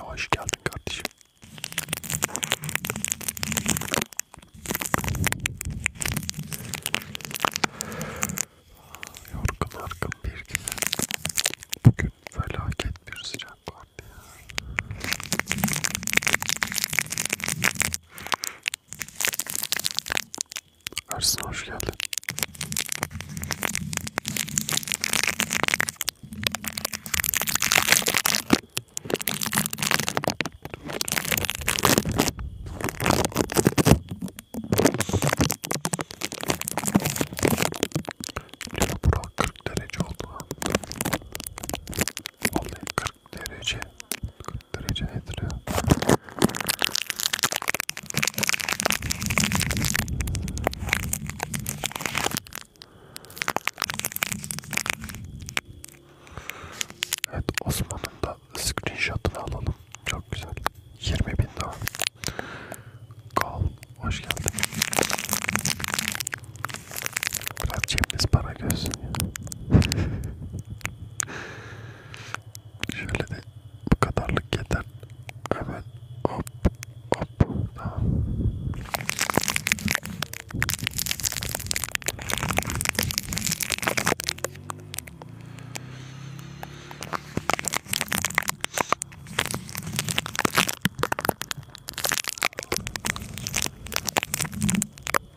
Yavaş geldin kardeşim. Yorgun argın bir gün. Bugün felaket bir sıcak vardı ya. Ersin hoş geldin. Burak 40 derece oldu lan. Vallahi 40 40 derece 40 derece nedir ya? Evet Osman'ın da screenshot'ını alalım. Çok güzel. 20 bin daha. Kal, hoş geldin. Biraz cebiniz para gözsün ya. Şöyle de bu kadarlık yeter. Hemen hop hop tamam.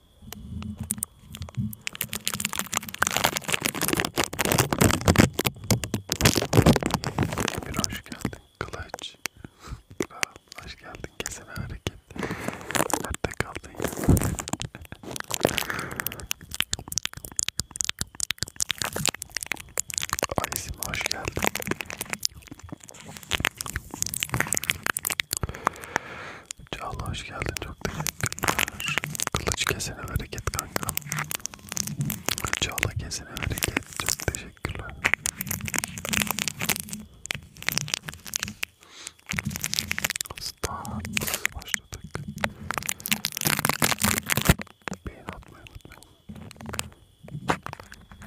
Bir hoş geldin kılıç. hoş geldin kesene hareket. Nerede kaldın ya? Aysim hoş geldin. Çağla hoş geldin çok teşekkürler. Kılıç kesene hareket kanka. Çağla kesene hareket çok teşekkürler. Start başladık. Beyin atmayı unutmayın.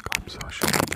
Gamze hoş geldin.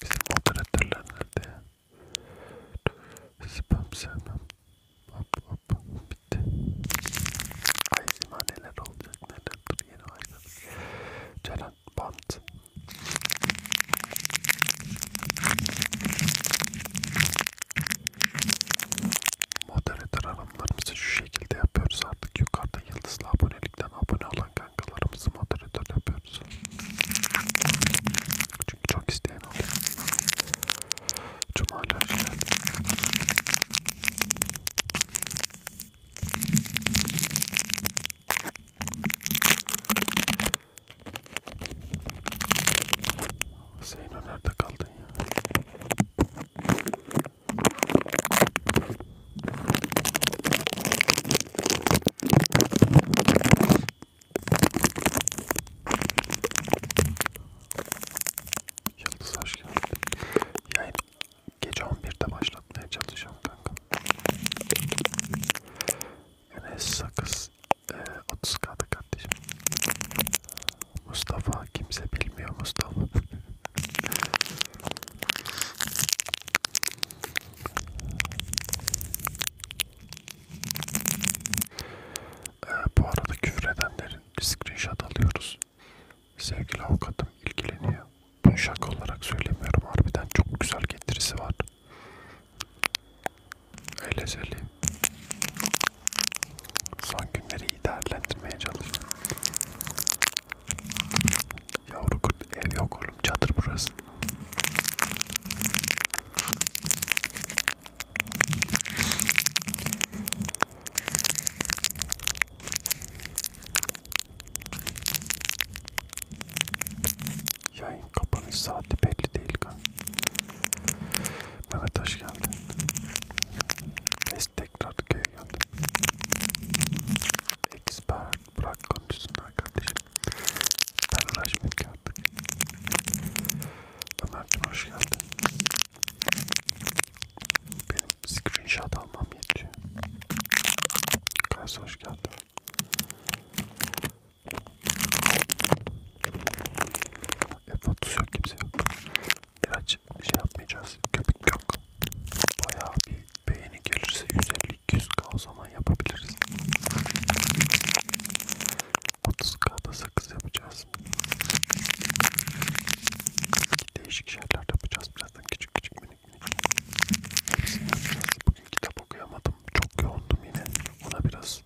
Bizim moderatörler nerede ya? Spam sevmem. Hop hop bitti. Ay zima neler olacak neler dur yeni aylar. Ceren bant. Moderatör hanımlarımızı şu şekilde yapıyoruz artık. Yukarıda yıldızlı abonelikten abone olan kankalarımızı moderatör yapıyoruz. Çünkü çok isteyen oluyor. Cuma görüşürüz. Zeyno nerede kaldın ya? Yıldız hoş geldin. Yayın gece 11'de başlatmaya çalışacağım kanka. Enes Sakız e, 30 kardeşim. Mustafa kimse bilmiyor Mustafa. Ee, bu arada küfredenlerin screenshot alıyoruz. Sevgili avukatım ilgileniyor. Bunu şaka olarak söylemiyorum. Harbiden çok güzel getirisi var. Öyle söyleyeyim. Son günleri iyi değerlendirmeye çalışıyorum. Yavru kurt ev yok oğlum çadır burası. Yayın kapanış saati belli değil kan. Mehmet hoş geldin. Biz tekrar köye buraya geldim. Expert bırak konuşsun arkadaşım. Ben uğraşmayayım ki artık. Ömer'cim hoş geldin. Benim screenshot almam yetiyor. Kaysa hoş geldin. E, fotosu yok kimse yok. İlaç hiç şey yapmayacağız. Köpük yok. Bayağı bir beğeni gelirse 150-200k o zaman yapabiliriz. 30k'da sakız yapacağız. Değişik şeyler yapacağız. Birazdan küçük küçük minik minik. Hepsini yapacağız. Bugün kitap okuyamadım. Çok yoğundum yine. Ona biraz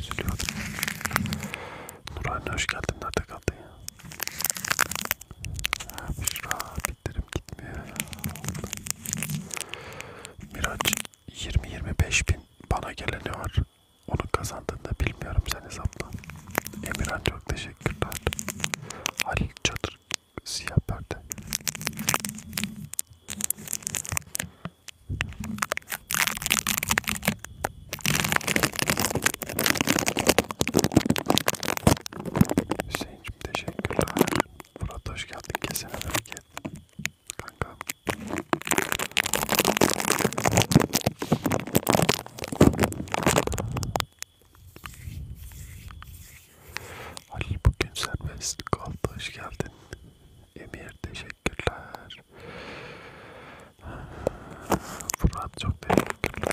üzülüyordum. Nurhan hoş geldin. Nerede kaldı ya? Abi, abi kayıtlarım gitmiyor ya. Miraç 20-25 bin bana geleni var. Onun kazandığını bilmiyorum sen hesapla. Emirhan çok teşekkürler. Halil Çadır siyah perde. Hüseyin Zeynep'ciğim teşekkürler. Murat hoş geldin. Kesene bereket. Kanka. Halil bugün serbestlik oldu. Hoş geldin. Emir teşekkürler. Murat çok teşekkürler.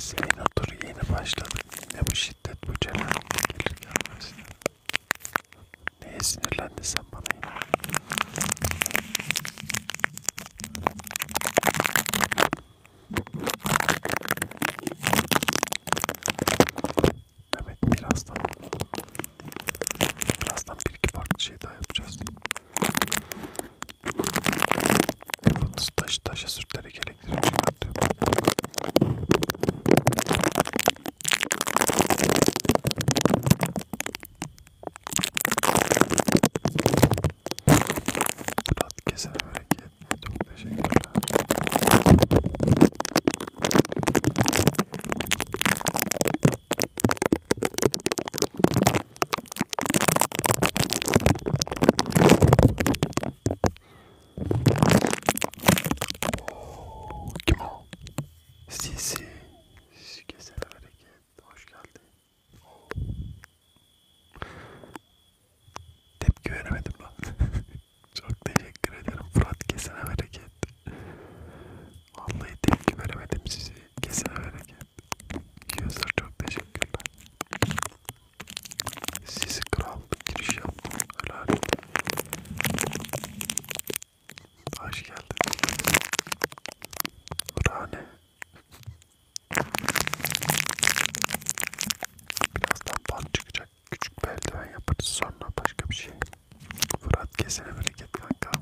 Zeyn otur yeni başladı. Ne bu şiddet bu celal gelir gelmez. Neye sinirlendin sen bana yine? Evet birazdan birazdan bir iki farklı şey daha yapacağız. Yalnız taş taşa sürtleri gerektirir. Rahat şey kesene bereket. Çok teşekkürler. Oo, kim o? Sisi. Kesene bereket. Hoş geldin. Oo. Tepki veremedim lan. Çok teşekkür ederim Fırat. Kesene bereket. Vallahi tepki veremedim sizi. Kesene bereket. Gözler çok teşekkürler. Sizi kral giriş yaptım. Helal. Hoş geldin. Burhane. Birazdan bal çıkacak. Küçük bir eldiven yaparız sonra başka bir şey. Fırat kesene bereket kanka.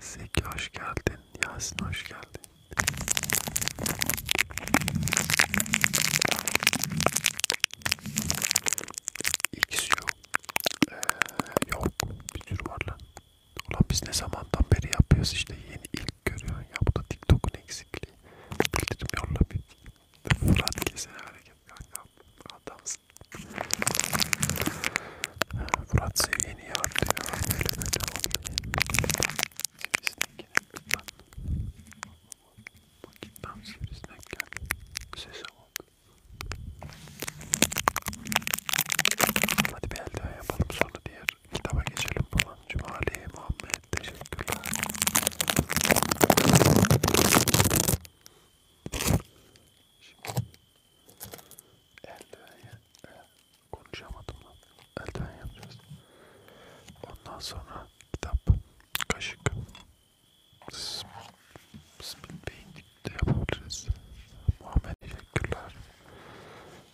Zeki hoş geldin. Yasin hoş geldin. İkisi yok. Ee, yok. Bir tür var lan. Ulan biz ne zamandan beri yapıyoruz işte yeni ilk görüyorsun ya. Bu da TikTok'un eksikliği. Bildirim yolla bir. Fırat kesin hareket kanka. Adamsın. Fırat seviyeni yaptı ya. Böyle böyle oluyor. Sivrisinek gene öpen. Bakayım tam sivrisinek geldi. Sese bak. Hadi bir el daha yapalım sonra diğer kitaba geçelim falan. Cumali Muhammed teşekkürler. Şimdi e, eldiveni Konuşamadım lan. Elden yapacağız. Ondan sonra kitap, kaşık, split painting de yapabiliriz. Muhammed teşekkürler.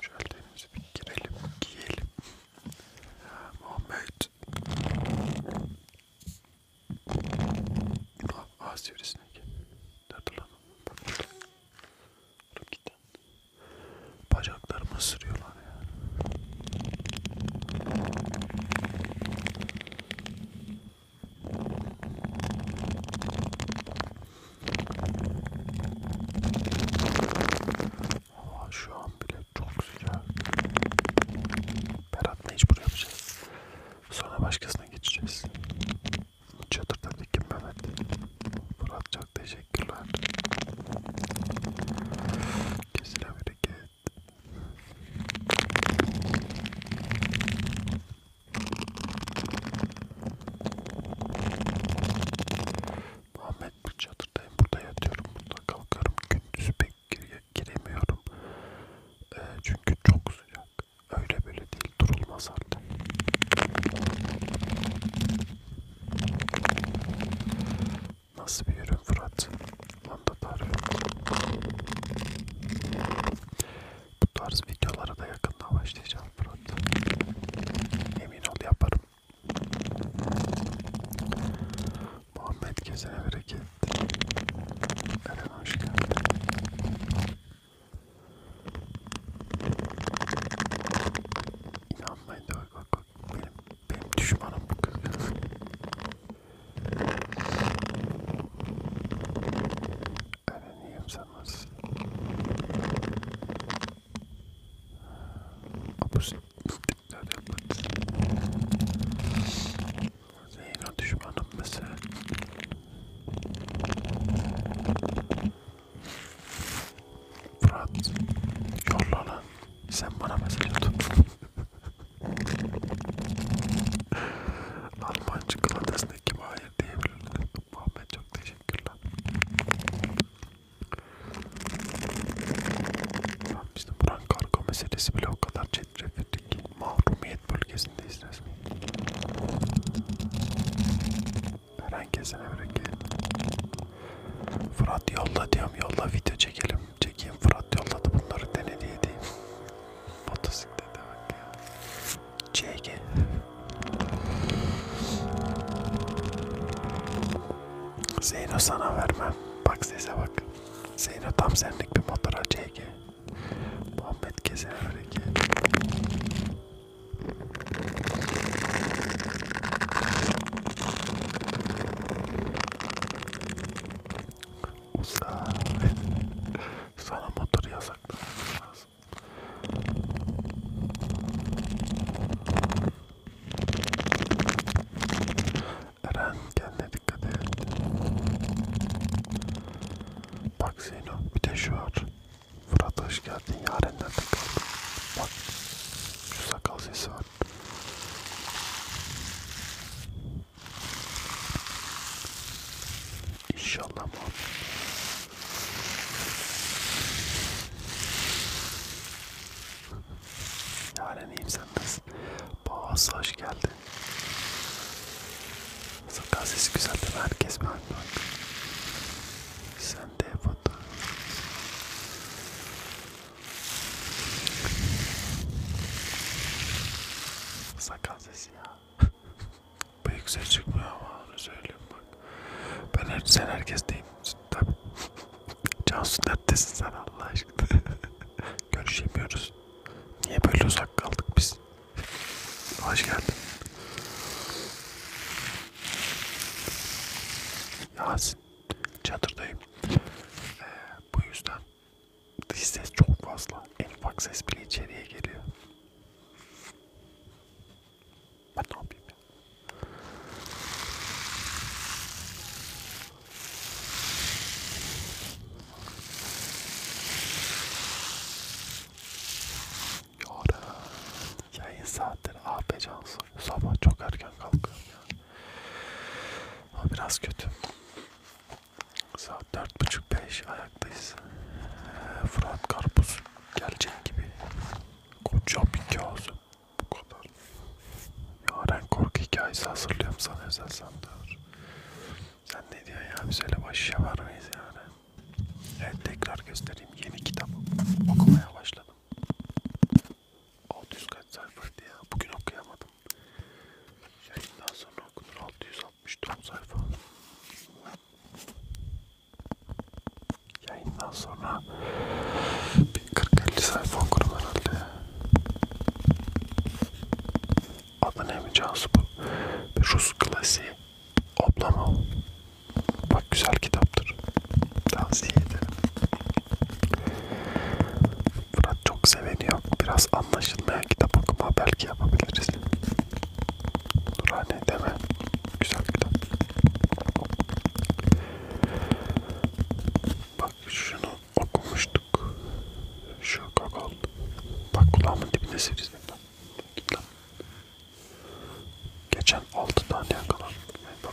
Şöyle elimizi bir girelim, giyelim. Muhammed. Ah, ağız çevresine gel. Nerede lan? Dur git lan. Bacaklarımı sürüyorlar ya. Hava şu an bile çok sıcak. Berat'la hiç buraya yapacağız. Sonra başkasına geçeceğiz. Çatır'daki Mehmet. Murat çok teşekkürler. Kesine bereket. Muhammed bu çadırdayım. Burada yatıyorum. Burada kalkarım. Gündüz pek gire giremiyorum. E, çünkü çok sıcak. Öyle böyle değil. Durulmaz artık. Nasıl bir ürün Fırat? Onda tarif. Bu tarz videolara da yakında başlayacağım Fırat. Emin ol yaparım. Muhammed gezene bereket. Eren hoş geldin. İnanmayın da bak bak benim, benim düşmanım bu kızcağız. Öğreneyim sen nasıl? Abuz istikrar yapmadı. Zeyno düşmanım mesela. Fırat yolla lan. Sen bana mesaj atın. Almancı kladesine kim hayır diyebilirdi. Muhammed çok teşekkürler. Tamam işte buran kargo meselesi bile o kadar çetrefilli ki mahrumiyet bölgesindeyiz resmen. Herkese bırakın. Fırat yolla diyorum yolla video çekelim. Çekeyim Fırat yolladı bunları denedi edeyim. Motosiklete bak ya. CG. Zeyno sana vermem. Bak sese bak. Zeyno tam senlik bir motora CG. Muhammed Keser hareket. Usta. Sana motor yasaklanması lazım. Eren kendine dikkat et. Bak Zeyno bir de şu var. Fırat hoş geldin. Yarenlerden kaldın. Bak şu sakal sesi var. İnşallah muhabbet. Halen iyiyim sen nasıl? Bağız hoş geldi. Sakal sesi güzel değil mi? Herkes beğendi. Sen de yapın. Sakal sesi ya. Bıyık ses çıkmıyor ama onu söyleyeyim bak. Ben her, sen herkes değil. Tabi. Cansu neredesin sen Allah aşkına. Görüşemiyoruz. Niye böyle uzak kaldık biz? Hoş geldin. Ya çadırdayım. Ee, bu yüzden dış ses çok fazla. En ufak ses bile içeriye geliyor. Ben ne yapayım ya? Yara. Yayın saatleri AP Cansu. Sabah çok erken hala kalkıyorum ya. Ama biraz kötü. Saat dört buçuk beş ayaktayız. Ee, Fırat Karpuz gelecek gibi. Koca bir kağısı. Bu kadar. Yaren korku hikayesi hazırlıyorum sana özel sandır. Sen ne diyorsun ya? Biz öyle başa varmayız yani. Evet tekrar göstereyim. Yeni kitabım. Okumaya başladım. 600 kaç sayfaydı ya. Bugün okuyamadım. Yayından sonra okunur. 664 sayfa. Yayından sonra bir 40-50 sayfa okurum herhalde. Adı ne mi Cansu bu? Bir Rus klasiği. Abla mı? Bak güzel kitaptır. Tavsiye ederim. Fırat çok seveni yok. Biraz anlaşılmayan kitap okuma belki yapabiliriz. Nurhane deme. Güzel kitap. Bak şunu okumuştuk. Şu kakol. Bak kulağımın dibine sivrisin. Geçen 6 tane yakalandım. Bak.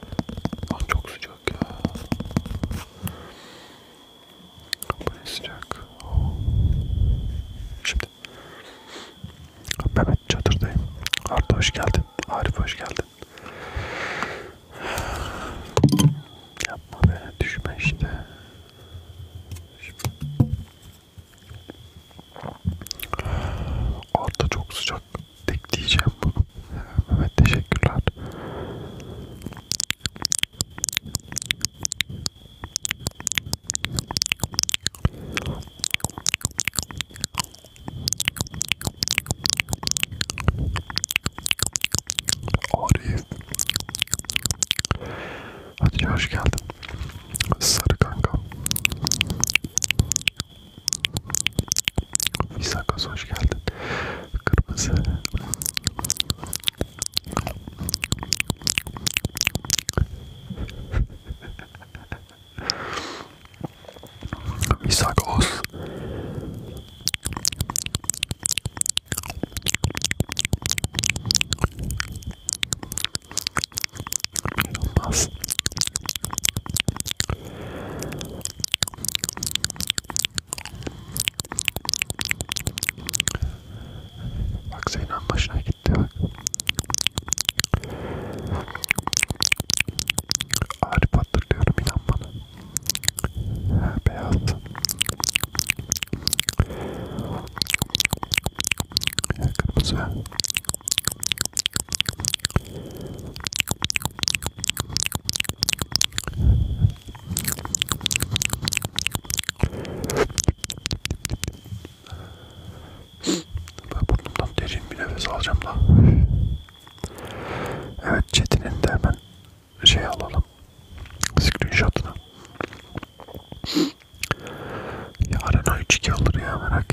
Lan ah, çok sıcak ya. Bu ne sıcak. Oh. Şimdi. Mehmet çadırdayım. Arda hoş geldin. Arif hoş geldin. Yapma be düşme işte. Şimdi. Altta çok sıcak. Tek diyeceğim. Evet teşekkürler. Arif. Hadi hoş geldin. Sarı kanka. Visakas hoş geldin. Kırmızı. Visakos. Yılmaz. Bak Zeynep başına gitti bak. Arif hatırlıyorum inan bana. Ha, beyaz. Ya, kırmızı. Ben burnumdan derin bir nefes alacağım da. Evet Çetin'in de hemen şey alalım. Screenshot'ını. Yarın 3-2 alır ya merak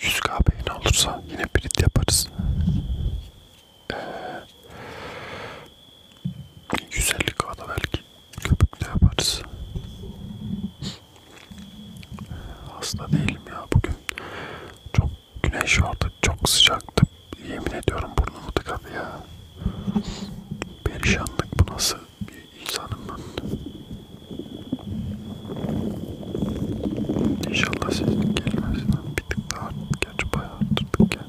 100k beğeni olursa yine brit yaparız. Ee, 150k da belki köpük de yaparız. Hasta değilim ya bugün. Çok güneş vardı, çok sıcaktı. Yemin ediyorum burnumu tıkadı ya. Perişanlık bu nasıl bir insanım ben. İnşallah sesin gelmesinden bir tık daha geç bayağı arttırdık ya.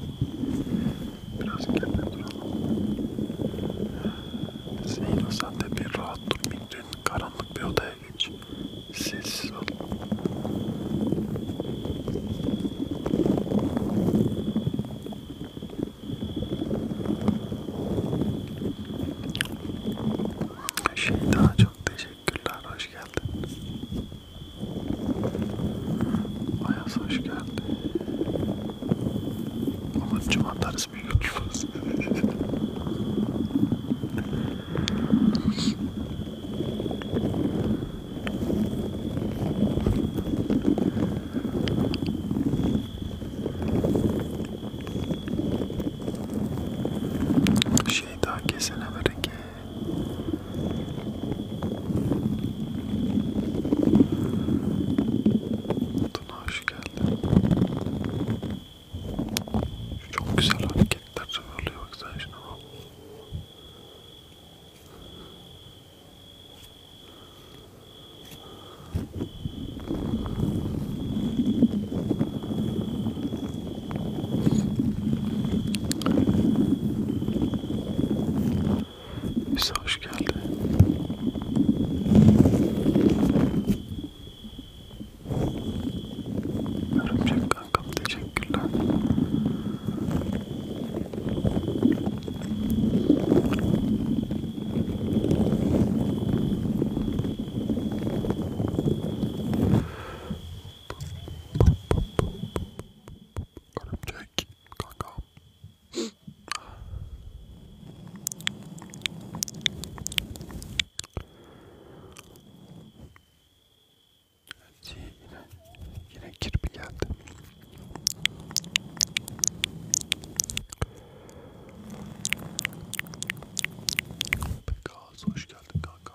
Biraz kendine duralım. Zeyno sen de bir rahat durmayın. Dün karanlık bir odaya geç. Sessiz ol. Şey daha çok çok teşekkürler, hoş geldin. Ayaz hoş geldin. Olur cuma atarız bir yutmaz. Şey daha kesene bereket. Tuna hoş geldin. Çok güzel hareketler oluyor bak sen şuna bak. Bize hoş geldi. Örümcek kankam teşekkürler. Örümcek kanka. Evet, yine yine kirpi geldi. Pekaz hoş geldin kanka.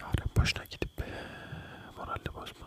Yarın boşuna gidip moralini bozma.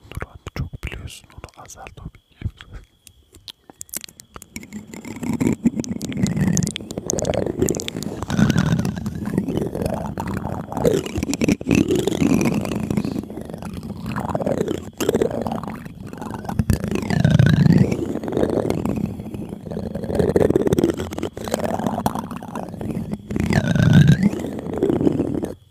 Nurhan çok biliyorsun onu azalt o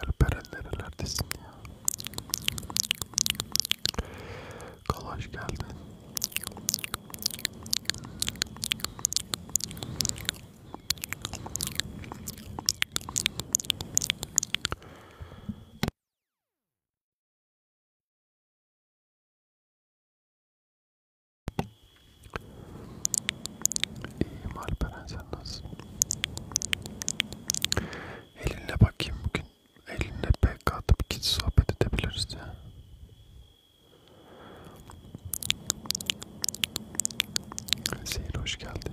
Alperen nerelerdesin ya? Kalaş geldin. İyiyim Alperen sen nasılsın? Elinle bakayım bugün. Elinle pek atıp git sohbet edebiliriz ya. Zehir hoş geldin.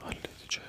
Halledeceğim.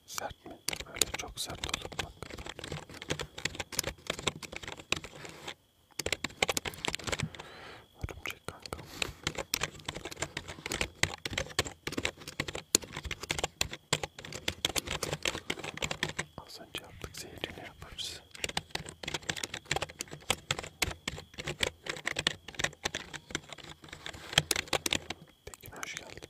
Sert mi? Böyle çok sert olur bak. Örümcek kanka. Az önce yaptık zehrini yaparız. Tekin hoş geldin.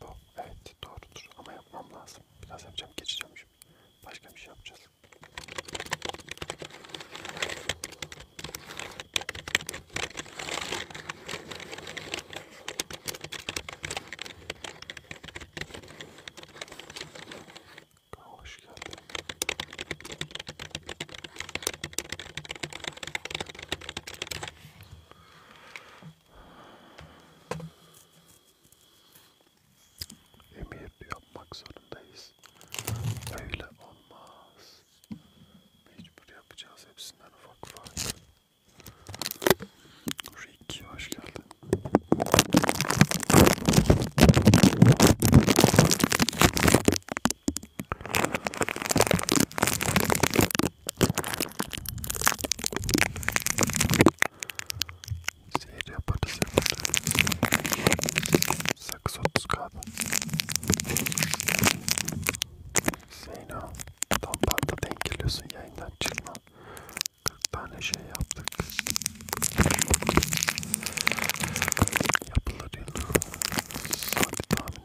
Bu evet doğrudur ama yapmam lazım. Biraz yapacağım geçeceğim şimdi. Başka bir şey yapacağız. Hoş geldin. Emir yapmak zorundayız. Öyle olmaz. Mecbur yapacağız hepsinden ufak ufak. Ricky hoş geldin. Zehir yaparız yaparız. Sakız 30 kaldı. Zeyno tam parda denk geliyorsun yayından çıkma. 40 tane şey yaptık. Yapılır yıl. Saati tahmin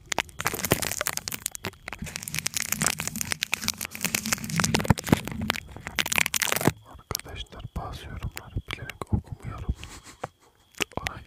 Arkadaşlar bazı yorumları bilerek okumuyorum. Ona göre.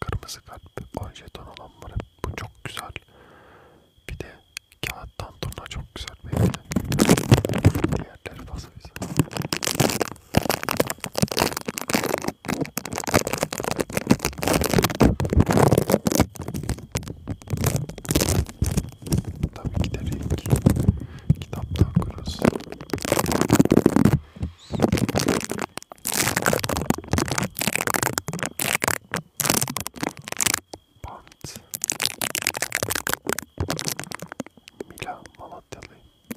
kırmızı kalp ve 10 jeton olan var. Bu çok güzel. Bir de kağıttan turna çok güzel bir hediye. Diğerleri nasıl bize? Tabii ki de renk kitaptan kuruz. Bant. Mila Malatyalı. Bir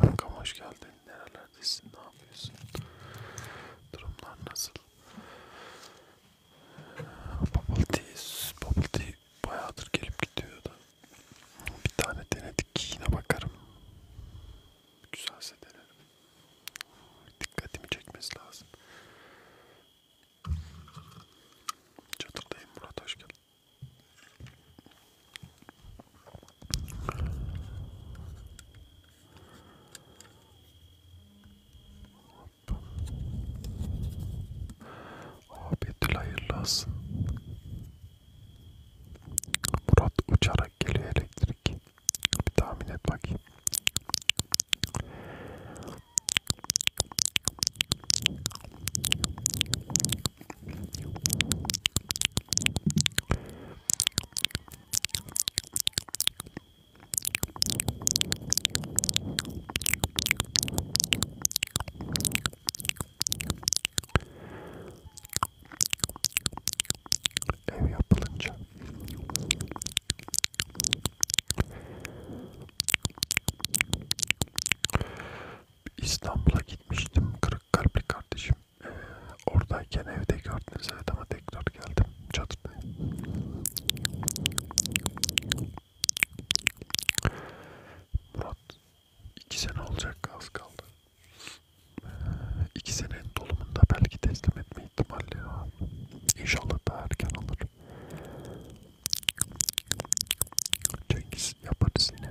kankam hoş geldin. Nerelerdesin? Ne yapıyorsun? Durumlar nasıl? Bubble tea, bubble tea bayağıdır gelip gidiyordu. Bir tane denedik yine bakarım. Güzelse denerim. Dikkatimi çekmesi lazım. Çatıdayım Murat hoş geldin. Abidül hayırlı olsun. Murat uçarak geliyor elektrik. Bir tahmin et bakayım. Ev yapılınca İstanbul'a gitmiştim kırık kalpli kardeşim oradayken evde gördünüz evet ama tekrar geldim çadırda. Murat iki sene olacak az kaldı. İki senenin dolumunda belki teslim etme ihtimali var. İnşallah daha erken olur. Cengiz yaparız yine.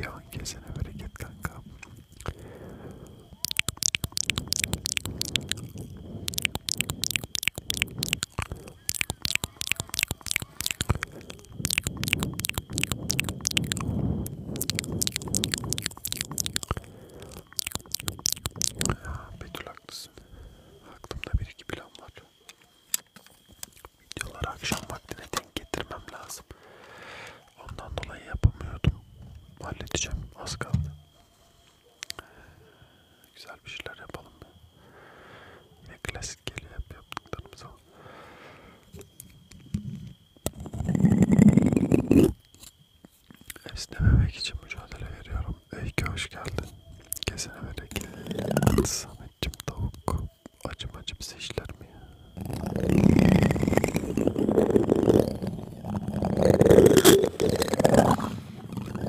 Leon kesene bereket kanka. Betül haklısın. Aklımda bir iki plan var. Videoları akşam vaktine denk getirmem lazım. Ondan dolayı yapamıyordum. Halledeceğim. Az kaldı. Güzel bir şeyler yapalım. Yine klasik geliyor hep yaptıklarımız ama. Esnememek için mücadele veriyorum. Öykü hoş geldin. Kesene verek. Samet'cim tavuk. Acım acım işler mi ya?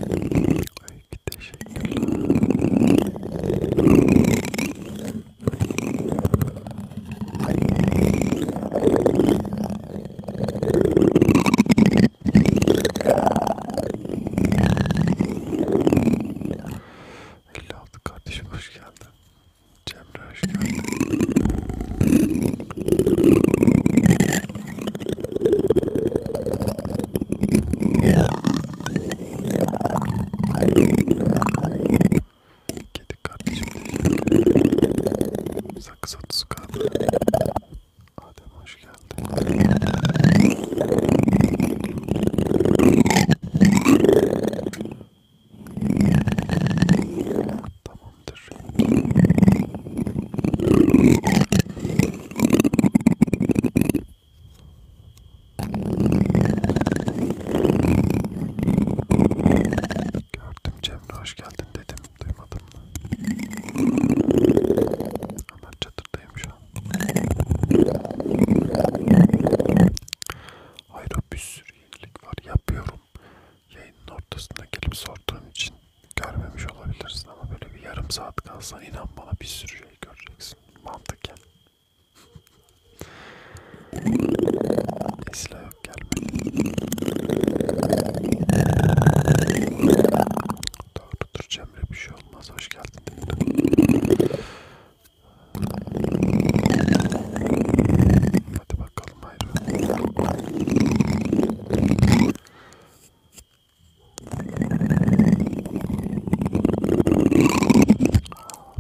Öykü teşekkürler. 56 kardeşim hoş geldin. Cemre hoş geldin. Kedi kardeşim. Sakız otuzu kaldı. Adem hoş geldin. Tamamdır. Gördüm Cemre hoş geldin dedim duymadım mı? Hemen çatırdayım şu an. Hayır bir sürü yenilik var. Yapıyorum. Yayının ortasında gelip sorduğun için görmemiş olabilirsin ama böyle bir yarım saat kalsan inan bana bir sürü şey göreceksin. Mantıken. Esla yok gelmedi. Doğrudur Cemre bir şey olmaz. Hoş geldin. Hadi bakalım ayrı.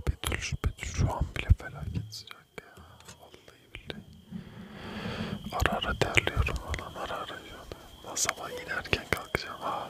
Betül, Betül şu an bile felaket sıcak ya. Vallahi billahi. Ara ara terliyorum falan ara ara. Nasıl sabah inerken kalkacağım ha.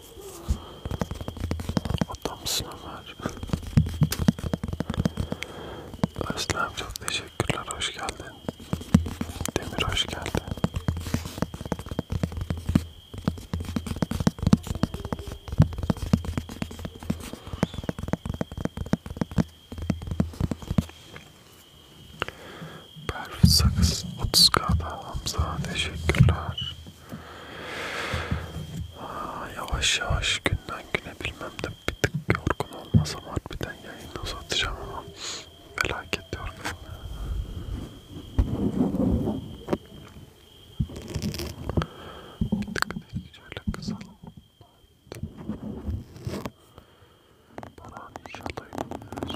Adamsın Ömer. Özlem çok teşekkürler. Hoş geldin. Demir hoş geldin. Perfit Sakız 30K'da Hamza teşekkürler. Yavaş yavaş günden güne bilmem de bir tık yorgun olmasam harbiden yayını uzatacağım ama felaket yorgun. Bir tık değil şöyle kısalım. Baran inşallah yürüyoruz.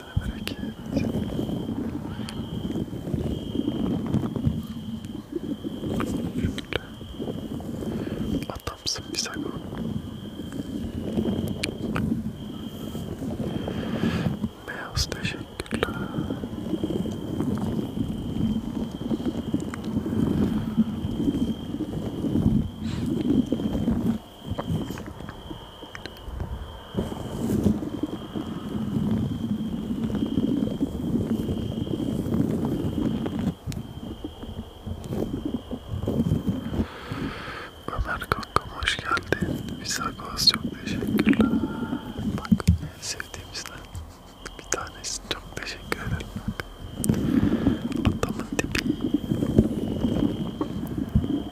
Şöyle merak et. Şöyle. Adamsın Visago. Meos teşekkürler. Ömer kankam hoş geldin. Visagos çok teşekkürler. Bak en sevdiğimizden bir tanesi çok teşekkür ederim. Bak. Adamın dibi.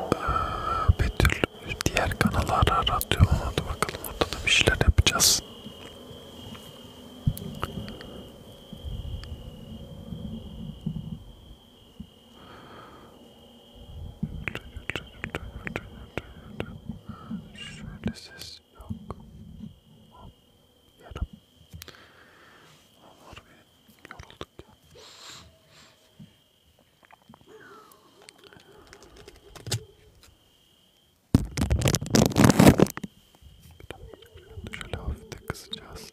e, Betül diğer kanallara radyo hadi bakalım orada da bir şeyler yapacağız. Şöyle ses yok. Yarım. Var bir yorulduk ya. Şöyle hafif de kısacağız.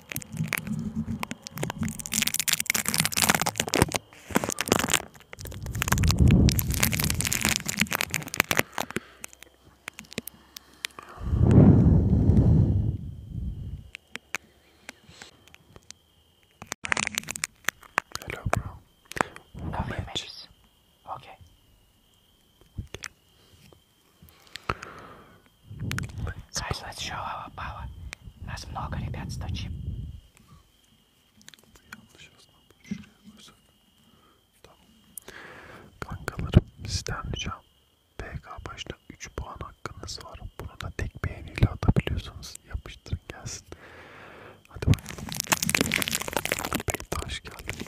Hello, bro. Oh, matches. Okay. okay. Кайза тяжелого пала. Нас много, ребят, сточим. Tamam. Kankalarım sizden ricam PK başına 3 puan hakkınız var. Bunu da tek beğeniyle atabiliyorsunuz. Yapıştırın gelsin. Hadi bakalım. Beyta hoş geldin.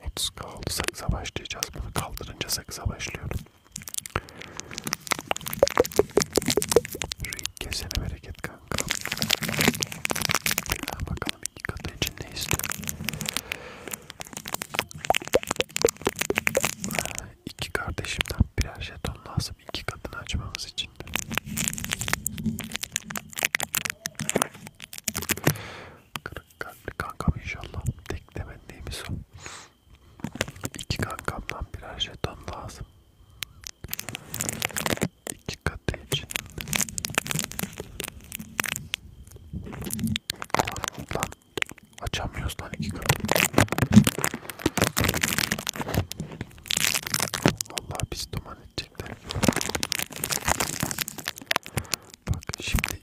30 oldu. Sakıza başlayacağız. Bunu kaldırınca sakıza başlıyorum. Şu ilk kesene bereket kanka. Ha, bakalım iki katı için ne istiyor? Ha, ee, iki kardeşimden birer jeton lazım. iki katını açmamız için de. Kırık kalpli kankam inşallah. Tek temennimiz o. İki kankamdan birer jeton lazım. İki katı için. Lan açamıyoruz lan iki katı. Vallahi biz duman edecekler. Bak şimdi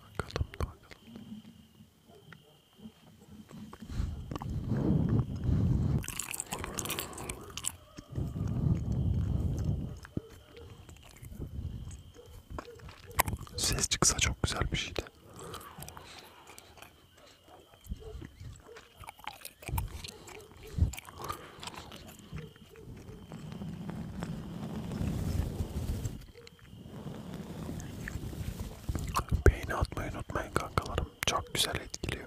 Bakalım bakalım. Ses çıksa çok güzel bir şeydi. Beğeni atmayı unutmayın kankalarım. Çok güzel etkiliyor.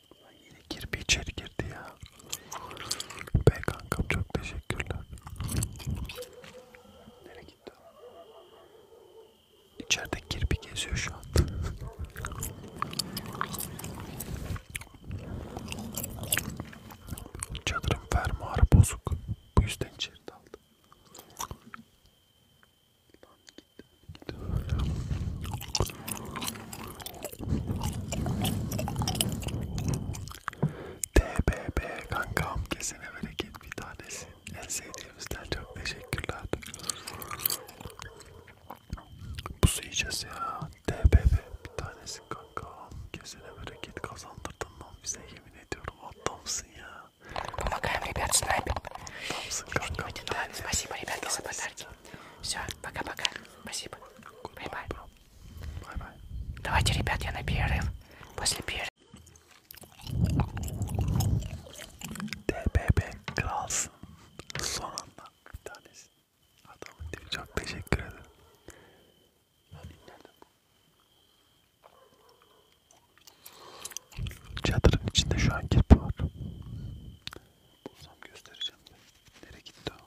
Lan yine kirpi içeri girdi ya. Be kankam çok teşekkürler. Nereye gitti o? İçeride kirpi geziyor şu an. Çadırın fermuarı bozuk. Bu yüzden içeri daldı. Lan gitti. Gitti. TBB kankam kesene bereket bir tanesi. En sevdiğimizden çok teşekkürler. Bu su yiyeceğiz ya. TBB bir tanesi kankam. Kesene bereket kazandırdın lan bize yemin ediyorum. Adamsın ya. Помогаем, ребят, с нами. Спасибо, ребят, за подарки. Все, пока-пока. Спасибо. Бай-бай. Давайте, ребят, я на перерыв. После перерыва. DBB Kralsın. Son anda bir tanesi. Adamın diye çok teşekkür ederim. Çadırın içinde şu an kirpi var. Bulsam göstereceğim de. Nereye gitti o?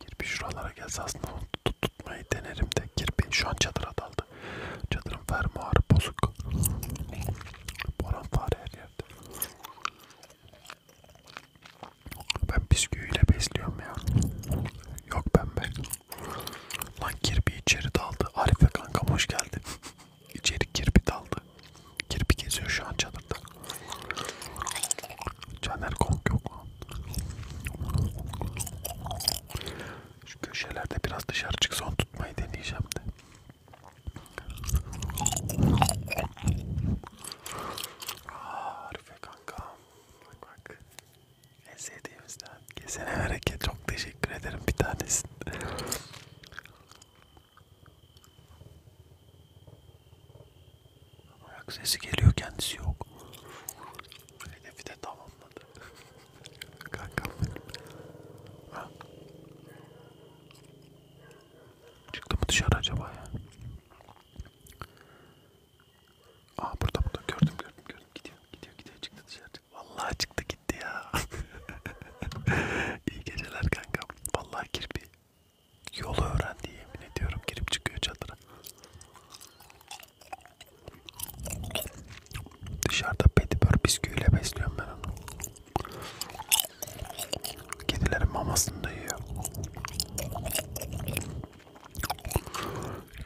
Kirpi şuralara gelse aslında onu tut tutmayı denerim de kirpi şu an çadıra daldı. Çadırın fermuarı bozuk. Boran fare her yerde. Ben bisküviyle besliyorum ya. Yok ben be. Lan kirpi içeri daldı. Arife kanka hoş geldin. İçeri kirpi daldı. Kirpi geziyor şu an çadırda. Caner Kong yok lan. Şu köşelerde biraz dışarı çık son tutmayı deneyeceğim de. Arife kankam. Bak bak. En sevdiğimizden. Kesene hareket. Çok teşekkür ederim bir tanesini. Ayak sesi geliyor kendisi yok. Hedefi de tamamladı. Kankam benim. Ha? Çıktı mı dışarı acaba ya? Aa burada burada gördüm gördüm gördüm gidiyor gidiyor gidiyor çıktı dışarı. Vallahi çıktı gitti ya. İyi geceler kankam. Vallahi kirpi yolu öğrendi yemin ediyorum girip çıkıyor çadıra. Dışarıda petibör bisküviyle besliyorum ben onu. Kedilerin mamasını da yiyor.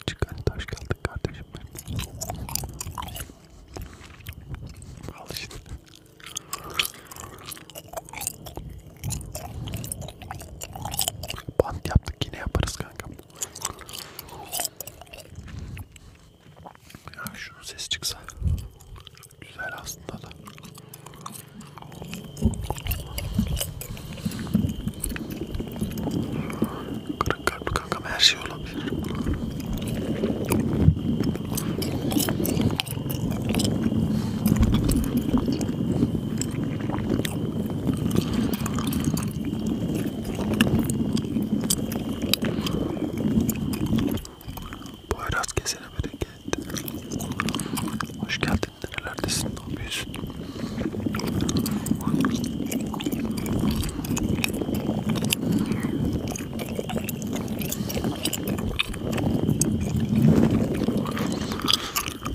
Çıkan taş kaldık kardeşim benim. Al işte. Bant yaptık yine yaparız kardeşim kanka. Ya şunun ses çıksa güzel aslında da. Kırık kalpli kankam her şey olabilir. Poyraz kesene bereket. Hoş geldin. Nerelerdesin? Ne yapıyorsun?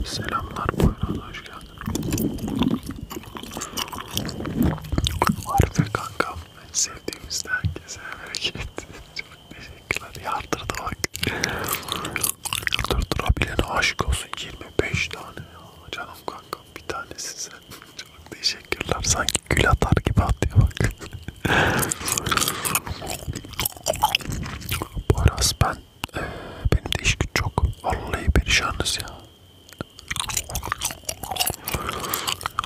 Selamlar Poyraz. Hoş geldin. Arife kankam sevdiğimizden herkese hareket çok teşekkürler yardırdı bak yardırdırabilene aşık olsun 25 tane ya canım kankam bir tanesi sen çok teşekkürler sanki gül atar gibi atıyor bak Boras ben e, benim de iş güç çok. Vallahi perişanız ya.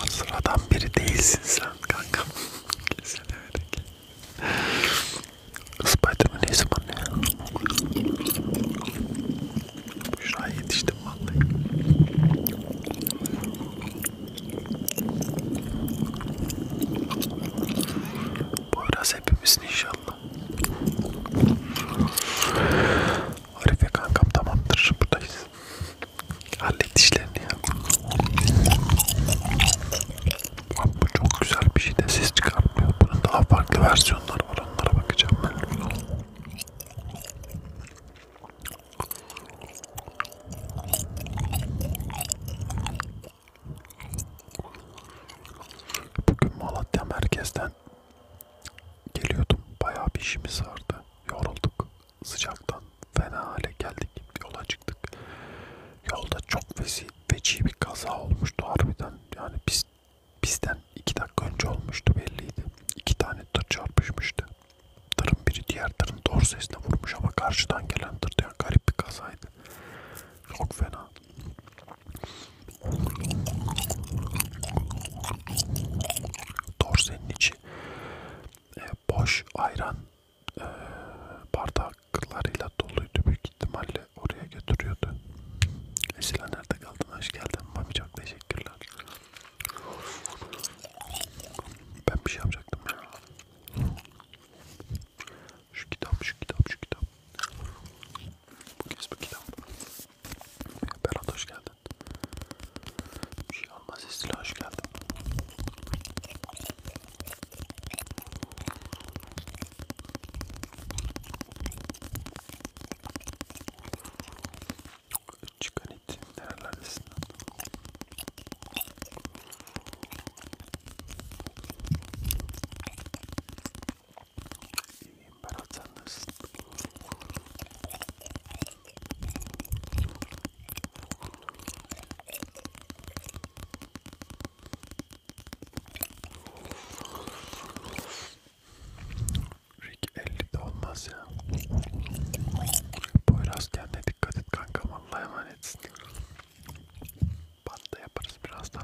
Sıradan biri değilsin sen kanka. Kesin öyle ki. Spiderman neyse bana ya. Şuraya yetiştim vallahi. Bu biraz hepimizin inşallah Arife kankam tamamdır buradayız. Hallet işlerini ya. Abi bu çok güzel bir şey de ses çıkarmıyor. Bunun daha farklı versiyonları var. Onlara bakacağım ben. Bugün Malatya merkezden geliyordum. Bayağı bir işimiz vardı. Yorulduk. Sıcaktan fena hale geldik. Yola çıktık. Yolda çok vesi, veci bir kaza olmuştu harbiden. Yani biz, bizden iki dakika önce olmuştu belliydi. İki tane tır çarpışmıştı. Tırın biri diğer tırın doğru sesine vurmuş ama karşıdan gelen tır yani garip bir kazaydı. Çok fena. Dorsenin içi e, boş ayran e, bardaklarıyla doluydu büyük ihtimalle oraya götürüyordu. Esila nerede kaldın? Hoş geldin. Mami çok teşekkürler. Ben bir şey yapacaktım ya. Şu kitap, şu kitap, şu kitap. Bu kez bu kitap. Berat hoş geldin. Bir şey olmaz istila hoş geldin. Çıkan it nerelerdesin? İyiyim ben sen nasılsın? Rick 50'de olmaz ya. Poyraz kendine dikkat et kanka vallahi emanetsin. Banda yaparız birazdan.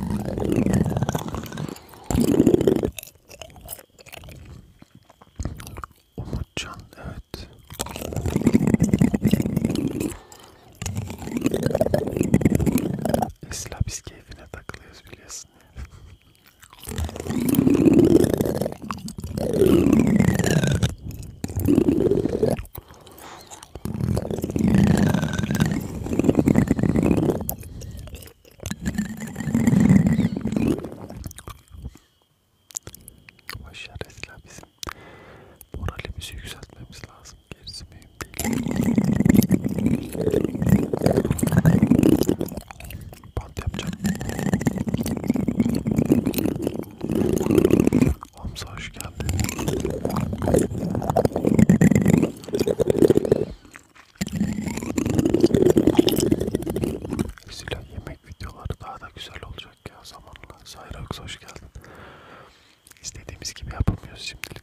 Umutcan evet. Esla biz keyfine takılıyoruz biliyorsun. Başar esla bizim moralimizi yükseltmemiz lazım. Gerisi mühim değil. Bant yapacağım. Hamza hoş geldin. Zila yemek videoları daha da güzel olacak ya zamanla. Sayrax hoş geldin. İstediğimiz gibi yapamıyoruz şimdilik.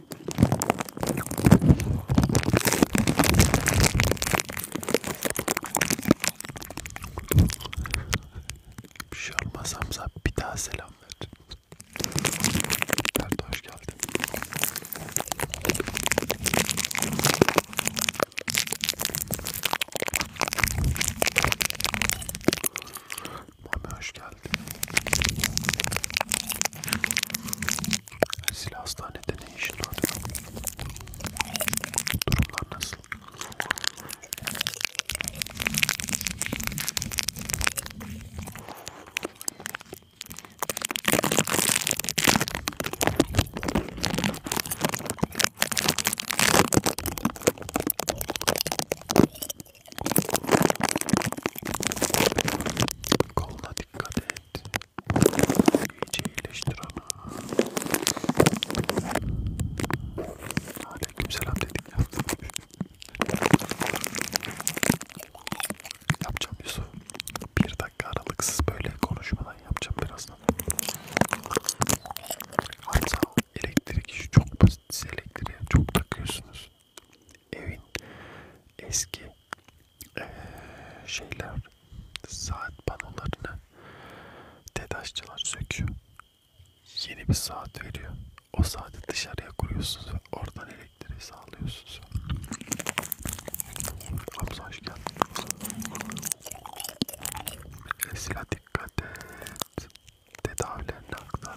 Bir şey olmaz Hamza. Bir daha selam ver. Nerede hoş geldin. Mami hoş geldin. Silah hastanede ne işin var? Durumlar nasıl? Koluna dikkat et. İyice iyileştir onu. Aleykümselam dedik yaptım. Yapacağım Yusuf. Bir dakika aralıksız böyle konuşmadan yapacağım birazdan. Hatta elektrik işi çok basit. Siz elektriğe çok takıyorsunuz. Evin eski ee, şeyler saat panolarını TEDAŞçılar söküyor. Yeni bir saat veriyor. O saati dışarıya kuruyorsunuz ve oradan elektriği sağlıyorsunuz. Hamza hoş geldin. Mesela dikkat et. Tedavilerini aktarma.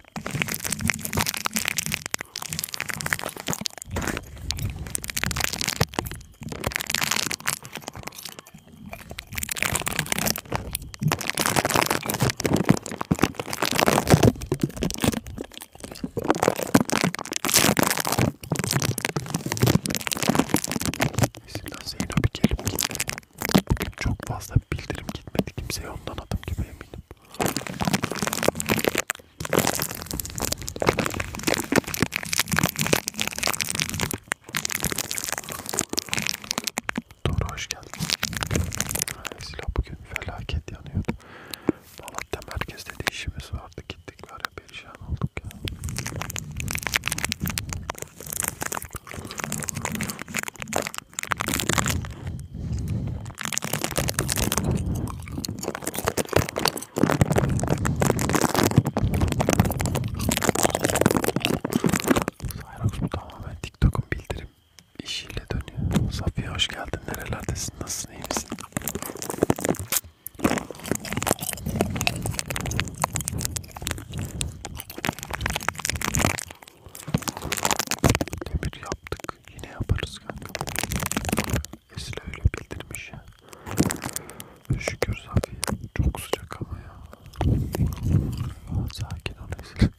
Mesela Zeyno bir gelip gitti. Bugün çok fazla bildirim gitmedi kimseye ondan adım gibi eminim. Doğru hoş geldin. Silah bugün felaket yanıyordu. Malatya merkezde de işimiz vardı. Gittik var ya perişan olduk ya. Cyrox bu tamamen TikTok'un bildirim işiyle dönüyor. Safiye hoş geldin. Nerelerdesin? Nasılsın? İyi misin? Demir yaptık. Yine yaparız kanka. Esile öyle bildirmiş ya. Şükür Safiye. Çok sıcak ama ya. ya sakin ol Esile.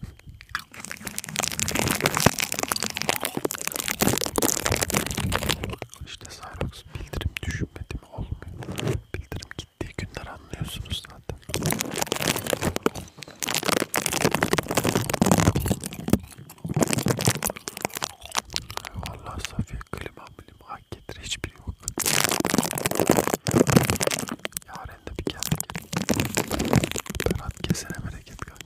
İşte Cyrox bildirim düşünmedi mi olmuyor. Bildirim gittiği günler anlıyorsunuz zaten. Vallahi Safiye klima bilim hak getir hiçbiri şey yok. Yarın da bir geldi. Berat kesene bereket kanka.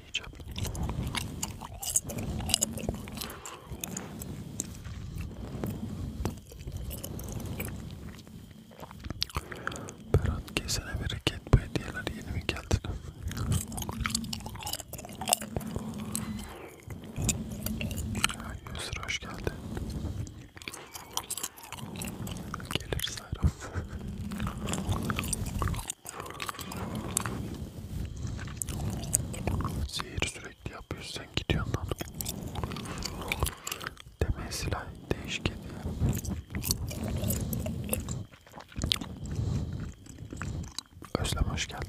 deneyeceğim. Berat kesene bereket bu hediyeler yeni mi geldi? Yusur hoş geldin. Gelir Sayram. Sihir sürekli yapıyorsun sen gidiyorsun lan. Deme silah değişik ediyor. Özlem hoş geldin.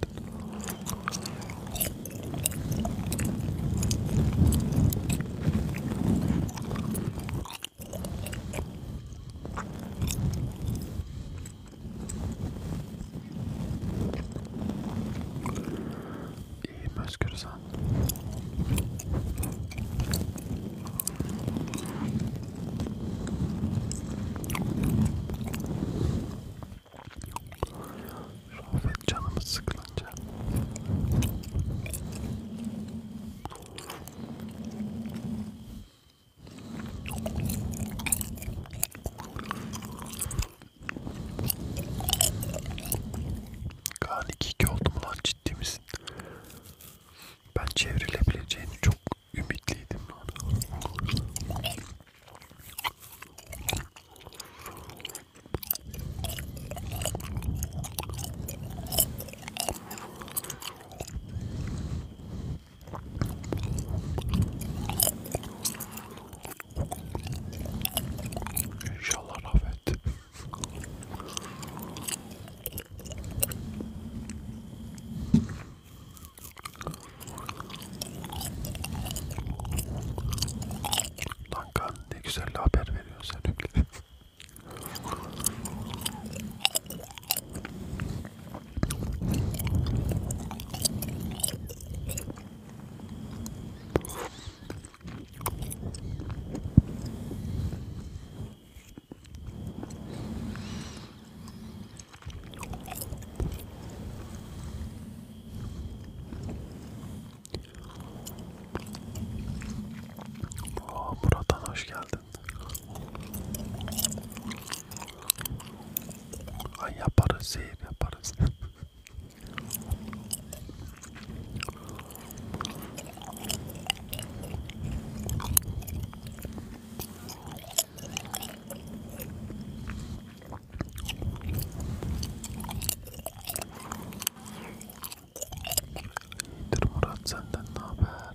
İyiyim Özgür sen. Sohbet canımız sıkılınca. Kaan 2-2 oldu mu lan ciddi misin? Ben çevrilebileceğini çok ümitliydim lan. İnşallah rahmet. Lanka ne güzel haber veriyorsun sen Aa, buradan hoş geldin. Ay yaparız zehir yaparız. İyidir Murat senden ne haber?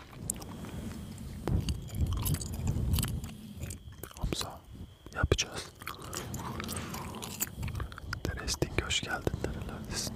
Hamza yapacağız. Teresting hoş geldin nerelerdesin?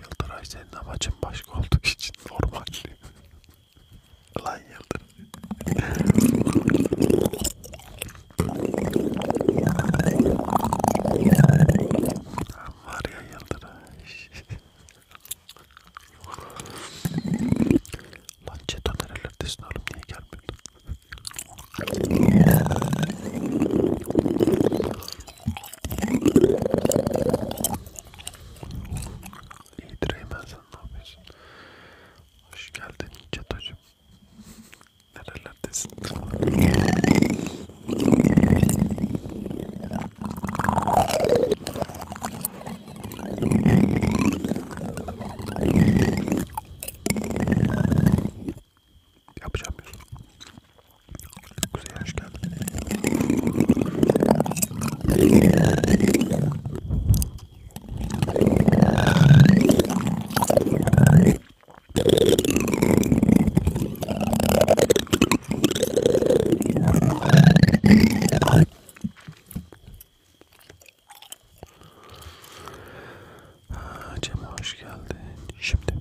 Yıldıray senin amacın başka olduğu için normal. Lan yıldır. Var ya yıldır. Lan çeto nerelerdesin oğlum niye gelmiyordun? İyidir Eymen sen ne yapıyorsun? Hoş geldin Çatocuğum. Nerelerdesin? Yapacağım bir. Kuzey hoş geldin. Cem hoş geldin. Şimdi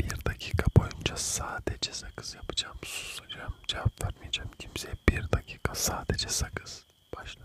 bir dakika boyunca sadece sakız yapacağım, susacağım, cevap cevap vermeyeceğim kimseye. Bir dakika sadece sakız başladı.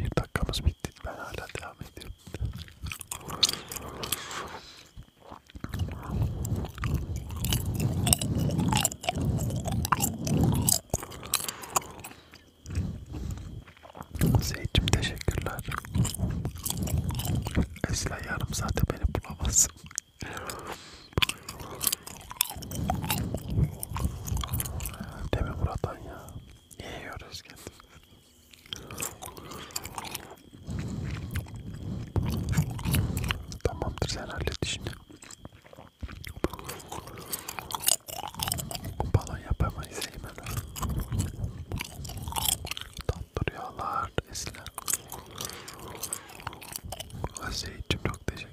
Bir dakikamız bitti. Ben hala devam ediyorum. Seyit'cim teşekkürler. Esra yarım saate beni bulamazsın. Değil mi Murat'tan ya? İyi yiyoruz kendimizi. Tamamdır sen hallet işini. Balon yapamayız Eymen. Tatlı rüyalar Esin'e. Aziz'cim çok teşekkür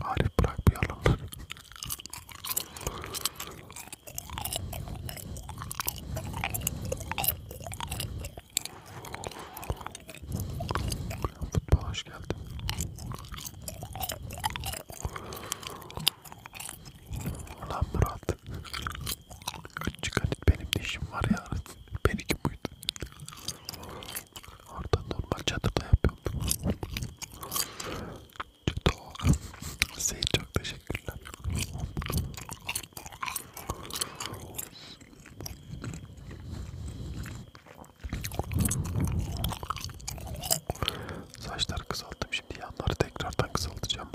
Arif bırak bir yalanlar. Futbol hoş geldin. Ulan Murat. Çıkan benim dişim var ya. Benimki buydu. Orada normal çadırda yapıyordum. Size çok teşekkürler. Saçları kısalttım. Şimdi yanları tekrardan kısaltacağım.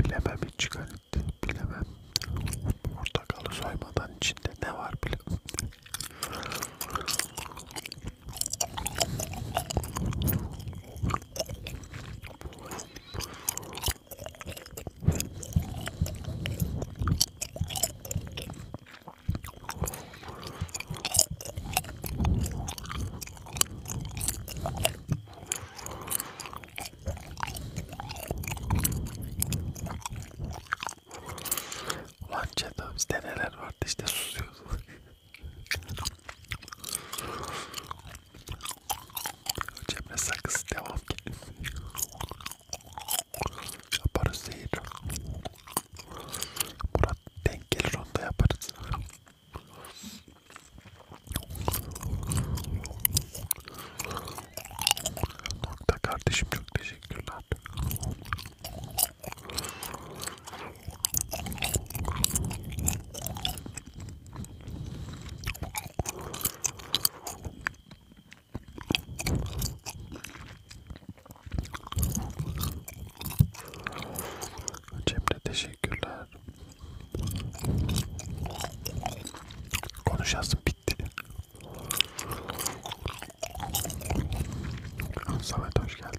Bilemem hiç garipti. Bilemem. Portakalı soymadan içinde ne var bilemem. Lan çatal bizde neler vardı işte susuyoruz. Cemre sakız devam ki. Yaparız değil. Murat denk gelir onu da yaparız. Nokta kardeşim çok teşekkürler. Cemre teşekkürler. Konuşasın bitti. Samet hoş geldin.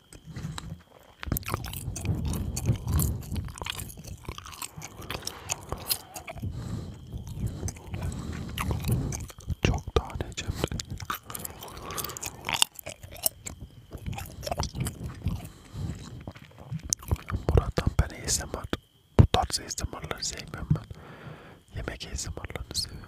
Çok tane cemre. Buradan ben ASMR, bu tarz ASMR'ları sevmiyorum ben. Yemek ASMR'larını seviyorum.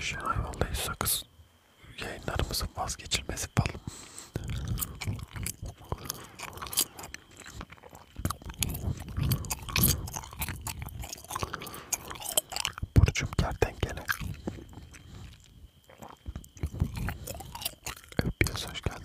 Şenay vallahi sakız yayınlarımızın vazgeçilmesi falan. Burcum kertenkele. Öpüyoruz hoş geldin.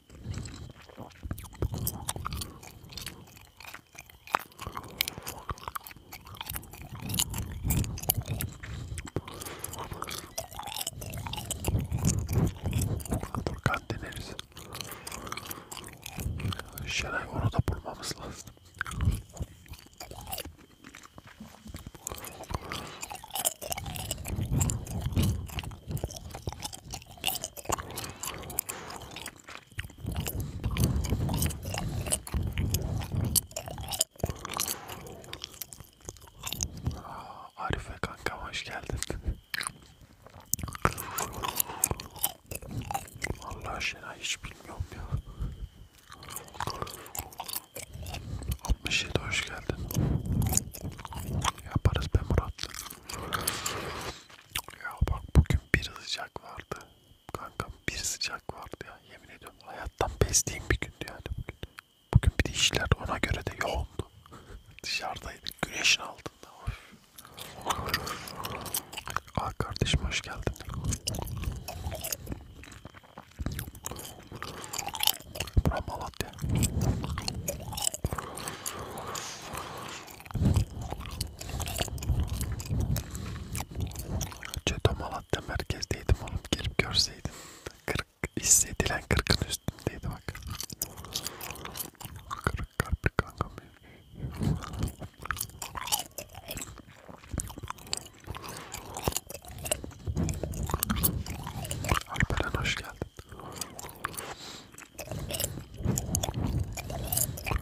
Dur kan deneriz. Şenay onu da bulmamız lazım. Arife kanka hoş geldin. Allah aşkına hiç bilmiyorum ya. 67 hoş geldin. Yaparız be Murat. Ya bak bugün bir sıcak vardı. Kankam bir sıcak vardı ya. Yemin ediyorum hayattan bezdiğim bir gündü yani bugün. Bugün bir de işler ona göre de yoğundu. Dışarıdaydık güneşin altında. Aa kardeşim hoş geldin. Bura Malatya. Ceto Malatya merkezdeydim oğlum girip görseydin. Kırk hissedilen kırkın üstündeydi bak. Kırık kalp kankam. Alperen hoş geldin.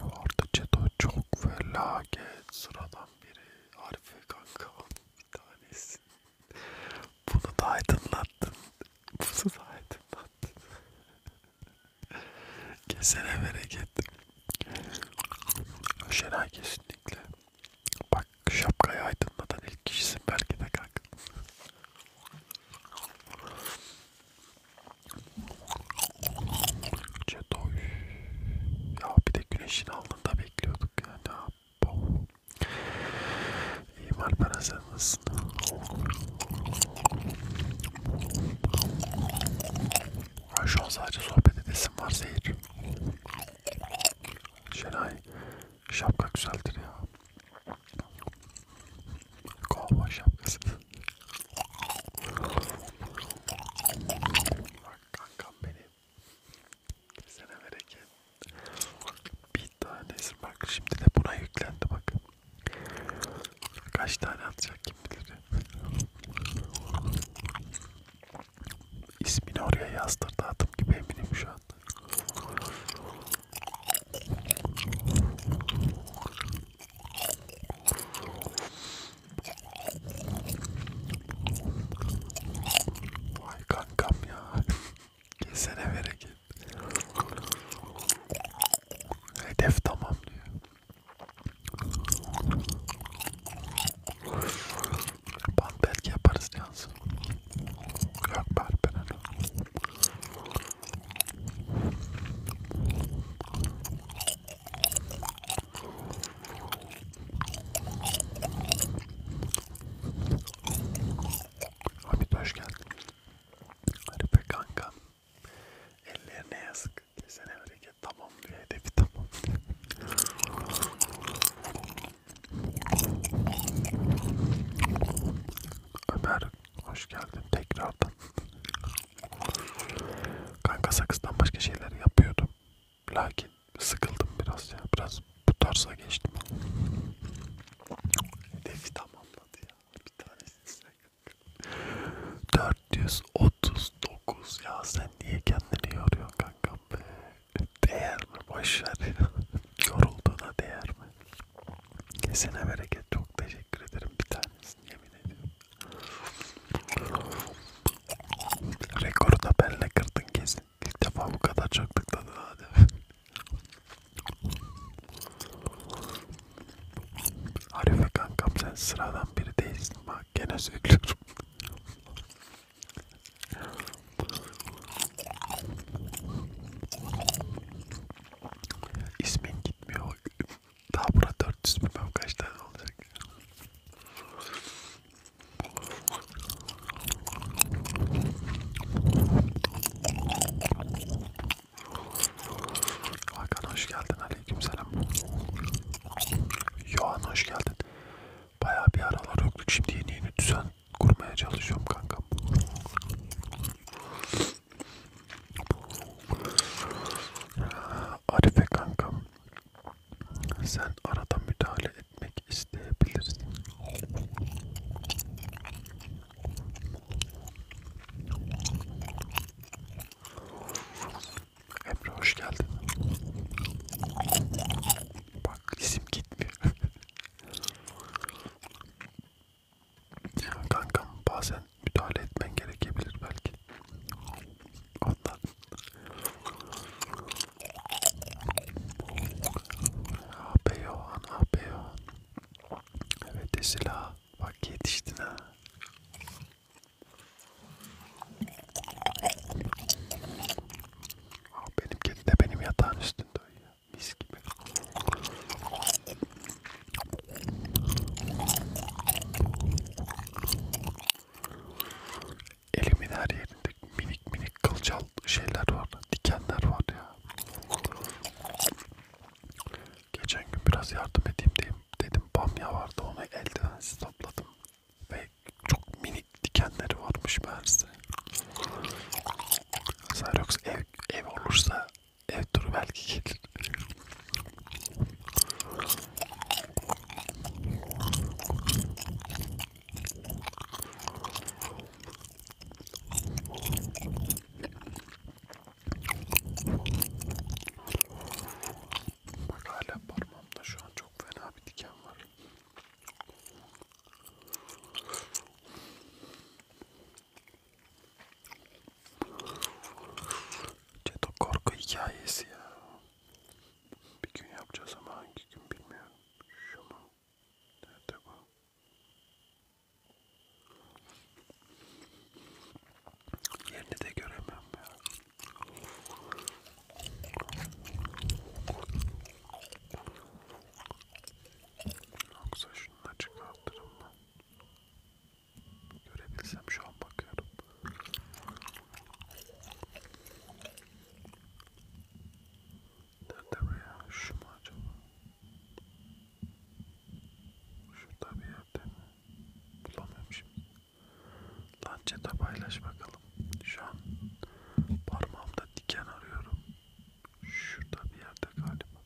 Orada Ceto çok felaket sıradan biri. Arife kanka bir tanesi. Bunu da aydınlattın. Bunu da aydınlattın. Kesene bereket. Şenay kesinlikle. Bak şapkayı aydınlatan ilk kişisin belki de kanka. Cedoy. Ya bir de güneşin altında bekliyorduk yani. İyiyim Alperen sen nasılsın? Şu an sadece sohbet edesim var Zehir. Şenay şapka güzeldir ya. Kovboy şapkası. Bak kankam benim. Kesene bereket. Bir tanesi bak şimdi de buna yüklendi bak. Kaç tane atacak kim bilir. İsmini oraya yazdırdı adım gibi eminim şu an. Vay kankam ya. Kesene bereket. Hedef tamam diyor. Bant belki yaparız yansın. Yok bari ben öyle. Abi hoş geldin. Hadi be kanka. Ellerine yazık. Kesene hareket tamam diyor. Hedefi tamam Ömer Hoş geldin tekrardan. Kanka sakızdan başka şeyler yapıyordum. Lakin sıkıldım biraz ya. Biraz bu tarza geçtim. Hedefi tamamladı ya. Bir tanesi 439 ya sen niye kendini yoruyorsun kankam be? Değer mi? Boşver ya. Yorulduğuna değer mi? Kesene bereket çok teşekkür ederim bir tanesini yemin ediyorum. Rekoru da benle kırdın kesin. İlk defa bu kadar çok tıkladın hadi. Arife kankam sen sıradan biri değilsin bak gene söylüyorum. İsmin gitmiyor. Daha burada 400 bilmem kaç tane olacak. Hakan hoş geldin. Aleykümselam. Yohan hoş geldin. Bayağı bir aralar yoktuk. Şimdi yeni yeni düzen kurmaya çalışıyorum kankam. Arife kankam sen arada müdahale etmek isteyebilirsin. Emre hoş geldin. Bak isim gitmiyor. Kankam bazen müdahale etmen gerekebilir belki. Ondan. Abeyohan, ah abeyohan. Ah evet Esila, bak yetiştin ha. Ah, benim kedi de benim yatağın üstünde uyuyor. Mis gibi. Elimin her yerinde minik minik kılcal şeyler var, dikenler var ya. Geçen gün biraz yardım edeyim diyeyim. dedim bamya vardı onu eldivensiz topladım ve çok minik dikenleri varmış meğerse. Xerox ev, ev olursa Evet dur belki gelir. Bak hala parmağımda şu an çok fena bir diken var. Ceto korku hikayesi ya. Bir gün yapacağız ama hangi gün bilmiyorum. Şu mu? Nerede bu? Yerini de göremem ya. Yoksa şunu da çıkartırım ben. Görebilsem şu an bakıyorum. Nerede bu ya? Şu mu acaba? Şurada bir yerde mi? Bulamıyorum şimdi. Lan çete paylaş bakalım. Şu an parmağımda diken arıyorum. Şurada bir yerde galiba.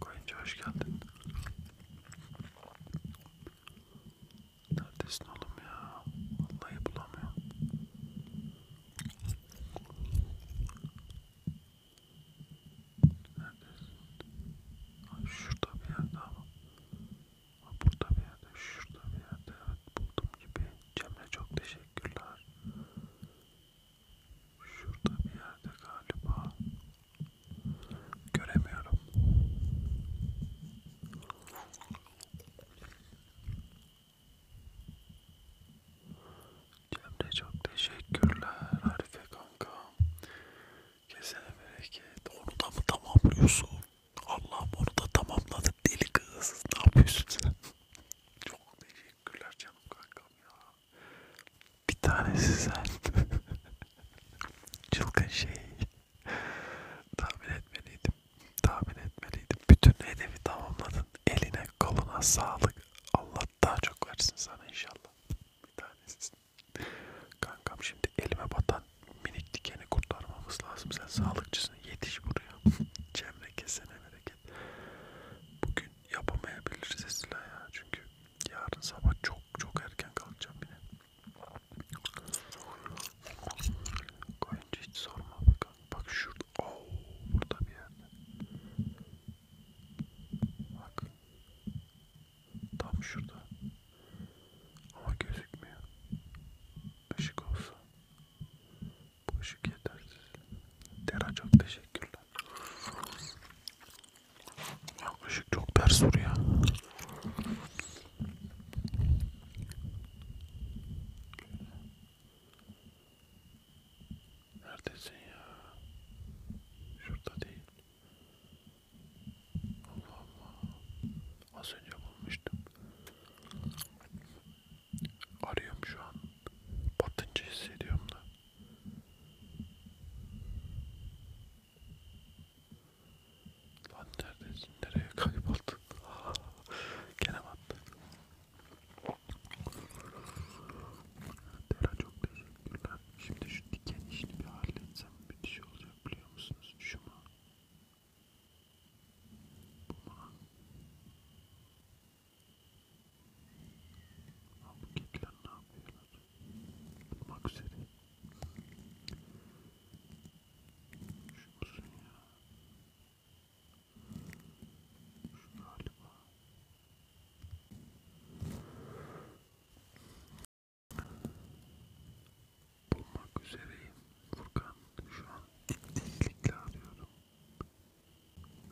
Koyunca hoş geldin. Neredesin oğlum ya? Vallahi bulamıyorum. Neredesin? Ay şurada bir yerde ama. Ay burada bir yerde, şurada bir yerde. Evet buldum gibi. Cemre çok teşekkürler. Şurada bir yerde galiba. Göremiyorum. Cemre çok teşekkürler Arife kanka. Kesene bereket. Onu da mı tamamlıyorsun? Allah'ım onu da tamamladı deli kız. Ne yapıyorsun sen? çok teşekkürler canım kankam ya. Bir tanesi sen. Çılgın şey. Tahmin etmeliydim. Tahmin etmeliydim. Bütün hedefi tamamladın. Eline koluna sağlık. Allah daha çok versin sana inşallah. Bir tanesi. Kankam şimdi elime batan minik dikeni kurtarmamız lazım. Sen sağlıkçısın. Yetiş buraya. Cemre kesene bereket. Bugün yapamayabiliriz Esra ya. Çünkü yarın sabah çok çok çok erken kalkacağım bir de. Koyunca hiç sorma bakalım. Bak şurada. Oo, oh, burada bir yerde. Bak. Tam şurada. Ama gözükmüyor. Işık olsa. Bu ışık yetersiz. Dera çok teşekkürler. Yaklaşık çok ters soru ya. Neredesin ya? Şurada değil. Allah Allah. Az önce bulmuştum. Arıyorum şu an. Batınca hissediyorum da. Lan neredesin? Nereye kayboldun? Gene battı. Dera çok teşekkürler. Şimdi şu diken işini bir halletsem müthiş şey olacak biliyor musunuz? Şu mu? Bu mu? Ha, bu kediler ne yapıyorlar? Bulmak üzere. Şu uzun ya. Şu galiba. Bulmak üzereyim. Furkan şu an dikdiklikle arıyorum.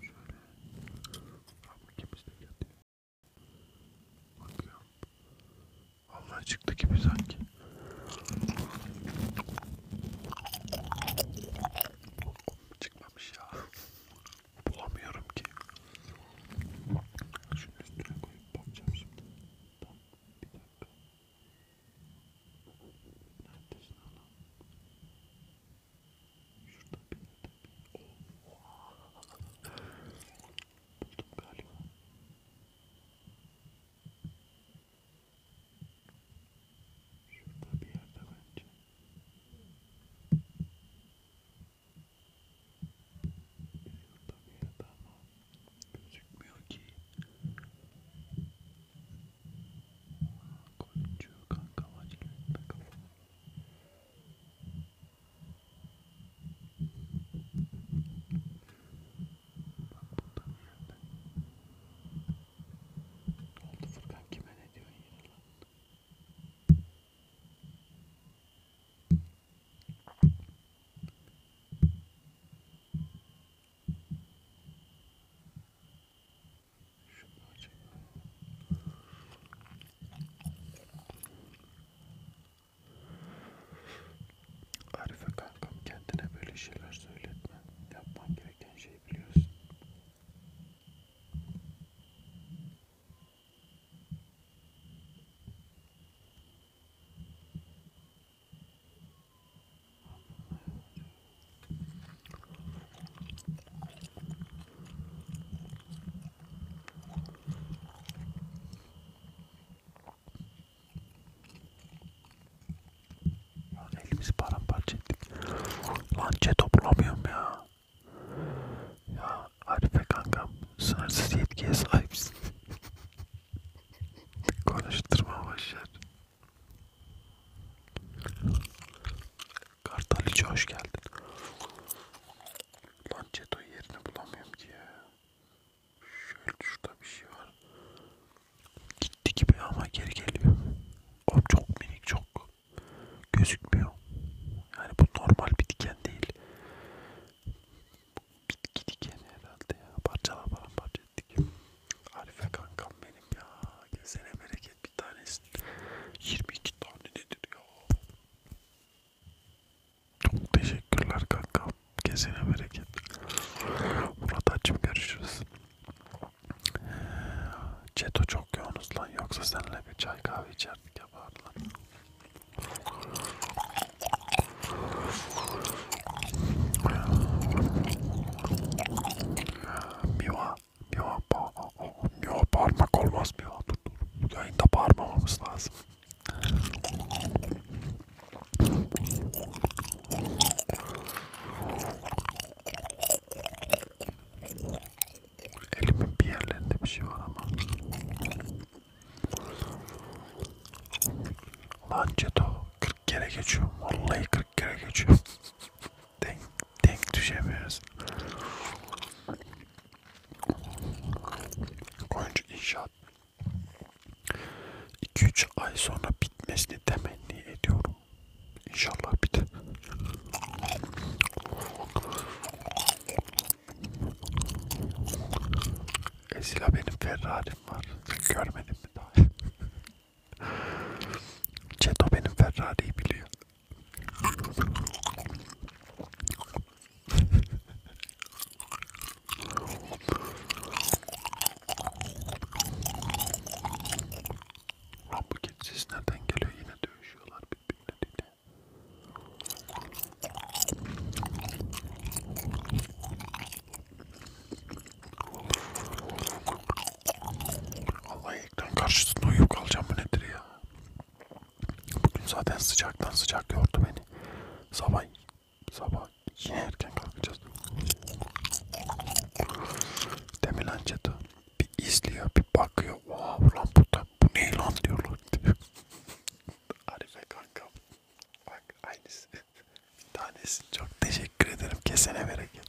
Şöyle. Abi kimse yatıyor. Bakıyorum. Vallahi çıktı gibi sanki. Çıkmamış ya. Bulamıyorum ki. Şunu üstüne koyup bakacağım şimdi. Tam bir dakika. Neredesin anam? Şurada bir yerde bir... Oh buldum galiba. Şurada bir yerde bence. Şurada bir yerde ama gözükmüyor ki. Koyuncu kanka acil etme kafamı. Bak burada bir yerde. Ne oldu Furkan kime ne diyorsun yine lan? Şunu açayım. Arife kankam kendine böyle şeyler söyletme. Yapman gereken şeyi biliyorsun. Lan elimizi paramparça ettik. Lan chat bulamıyorum ya. Ya Arife kankam sınırsız yetkiye sahipsin. Konuşturma başlar. Kartal hoş geldin. Lançeto yerini bulamıyorum ki ya. Şöyle şurada bir şey var. Gitti gibi ama geri geliyor. O çok minik çok gözükmüyor. Yani bu normal bir diken değil. Bitki dikeni herhalde ya. Parçala paramparça ettik. Arife kankam benim ya. Gelsene bereket bir tanesi. 22 tane nedir ya? Çok teşekkürler kanka. Gezine bereket. Murat açım görüşürüz. Çeto çok yoğunuz lan. Yoksa seninle bir çay kahve içerdik yapardı lan. Miva, miva, miva parmak olmaz miva. Dur dur. Yayında parmamamız lazım. Elimin bir yerlerinde bir şey var ama. Lan Ceto 40 kere geçiyorum. Vallahi 40 kere geçiyorum. denk, denk düşemiyoruz. Oyuncu inşaat 2-3 ay sonra bitmesini temenni ediyorum. İnşallah biter. Esila benim Ferrari'm var. Görmedim mi daha? Ceto benim Ferrari'yi biliyor. Lan bu git ses nereden geliyor? Yine dövüşüyorlar birbirleriyle. Allah ekran karşısında uyuyup kalacağım bu nedir ya? Bugün zaten sıcaktan sıcak yordu beni. Sabah sabah yine erken kalkacağız. Demir Lançeto bir izliyor bir bakıyor. Oha ulan bu, da, bu ne lan diyorlar. Arife kankam. Bak aynısı. bir tanesi. Çok teşekkür ederim. Kesene bereket.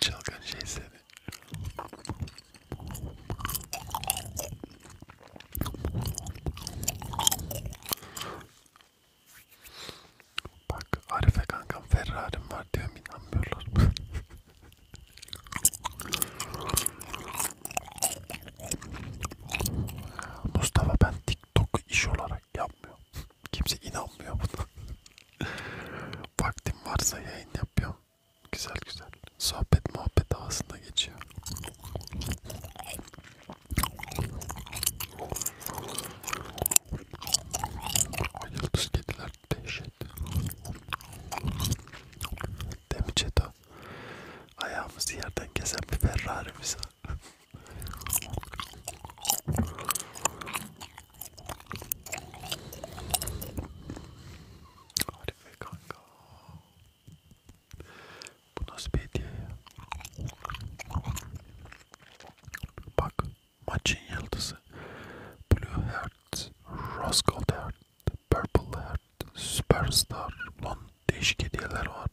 Çılgın şey seni. Bak Arife kankam Ferrari'm var diyorum inanmıyorlar. Mustafa ben TikTok'u iş olarak yapmıyorum. Kimse inanmıyor buna. Vaktim varsa yayın yapıyorum. Güzel güzel. Sohbet muhabbet havasında geçiyor. O yıldız kediler dehşet. Demi Çeto. Ayağımızı yerden kesen bir Ferrari'miz var. Harika kanka. Bu nasıl bir hediye ya? Bak maçın yıldızı. Blue Heart, Rose Gold Heart, Purple Heart, Superstar. Lan değişik hediyeler var.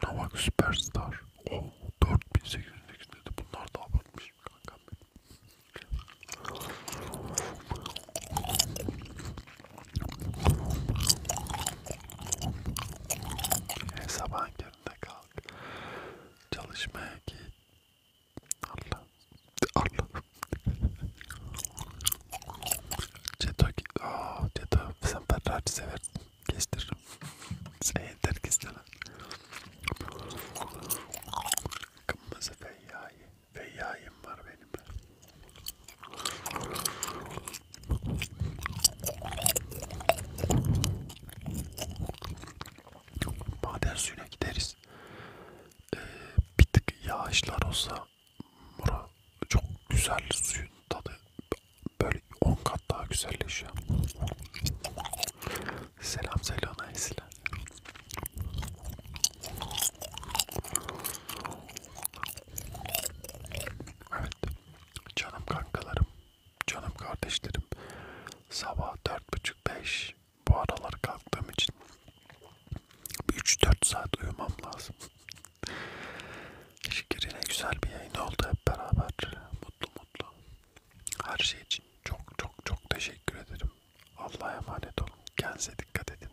Şuna bak Superstar. Oh, 4800 dedi. Bunlar da abartmış kardeşim kankam benim. Her sabah kendine kalk. Çalışmaya git. Allah. Allah. Ceto, oh, Ceto sen Ferrari sever. Kestiririm. Sen yeter kestir. Kırmızı feyyayı. Feyyayım var benim. Maden suyuna gideriz. Ee, bir tık yağışlar olsa bura çok güzel suyun tadı böyle 10 kat daha güzelleşiyor. Selam söyle ona Esra. Evet. Canım kankalarım. Canım kardeşlerim. Sabah dört buçuk beş. Bu aralar kalktığım için 3-4 saat uyumam lazım. Şükür yine güzel bir yayın oldu hep beraber. Mutlu mutlu. Her şey için çok çok çok teşekkür ederim. Allah'a emanet olun. Kendinize dikkat edin.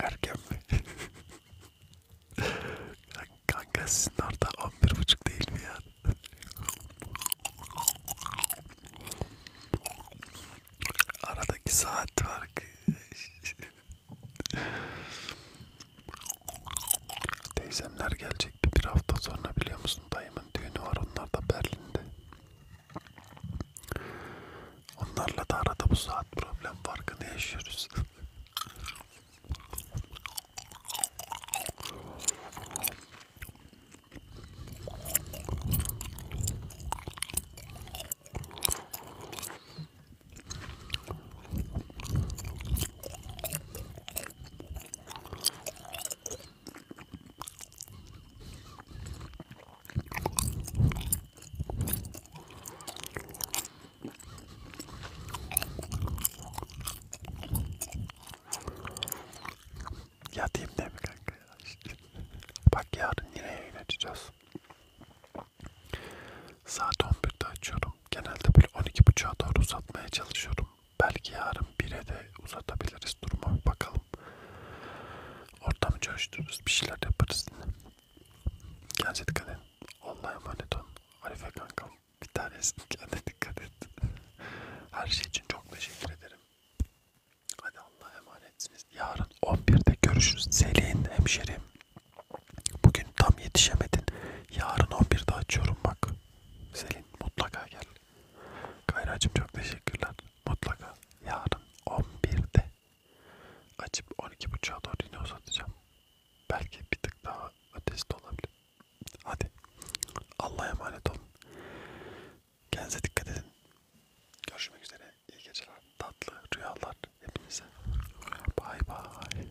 Erken mi? Kanka sizin orada 11.30 değil mi ya? Aradaki saat var ki. Teyzemler gelecekti bir hafta sonra biliyor musun dayımın düğünü var onlar da Berlin'de. Onlarla da arada bu saat problem farkını yaşıyoruz. Yatayım değil mi kanka ya? İşte. Bak yarın yine yayın açacağız. Saat 11'de açıyorum. Genelde böyle 12.30'a doğru uzatmaya çalışıyorum. Belki yarın bire de uzatabiliriz duruma bir bakalım. Ortamı çalıştırırız, bir şeyler yaparız. Kendinize dikkat edin. Allah'a emanet olun. Arife kankam bir tanesin kendine dikkat et. Her şey için çok teşekkür ederim. Hadi Allah'a emanetsiniz. Yarın 11'de görüşürüz. Selin hemşerim. Bugün tam yetişemedin. Yarın 11'de açıyorum bak. Selin mutlaka gel. Kayracım çok teşekkürler. Mutlaka yarın 11'de açıp 12.30'a doğru yine uzatacağım. Belki bir tık daha ötesi de olabilir. Hadi Allah'a emanet olun. Kendinize dikkat edin. Görüşmek üzere. İyi geceler. Tatlı rüyalar hepinize. Bay bay.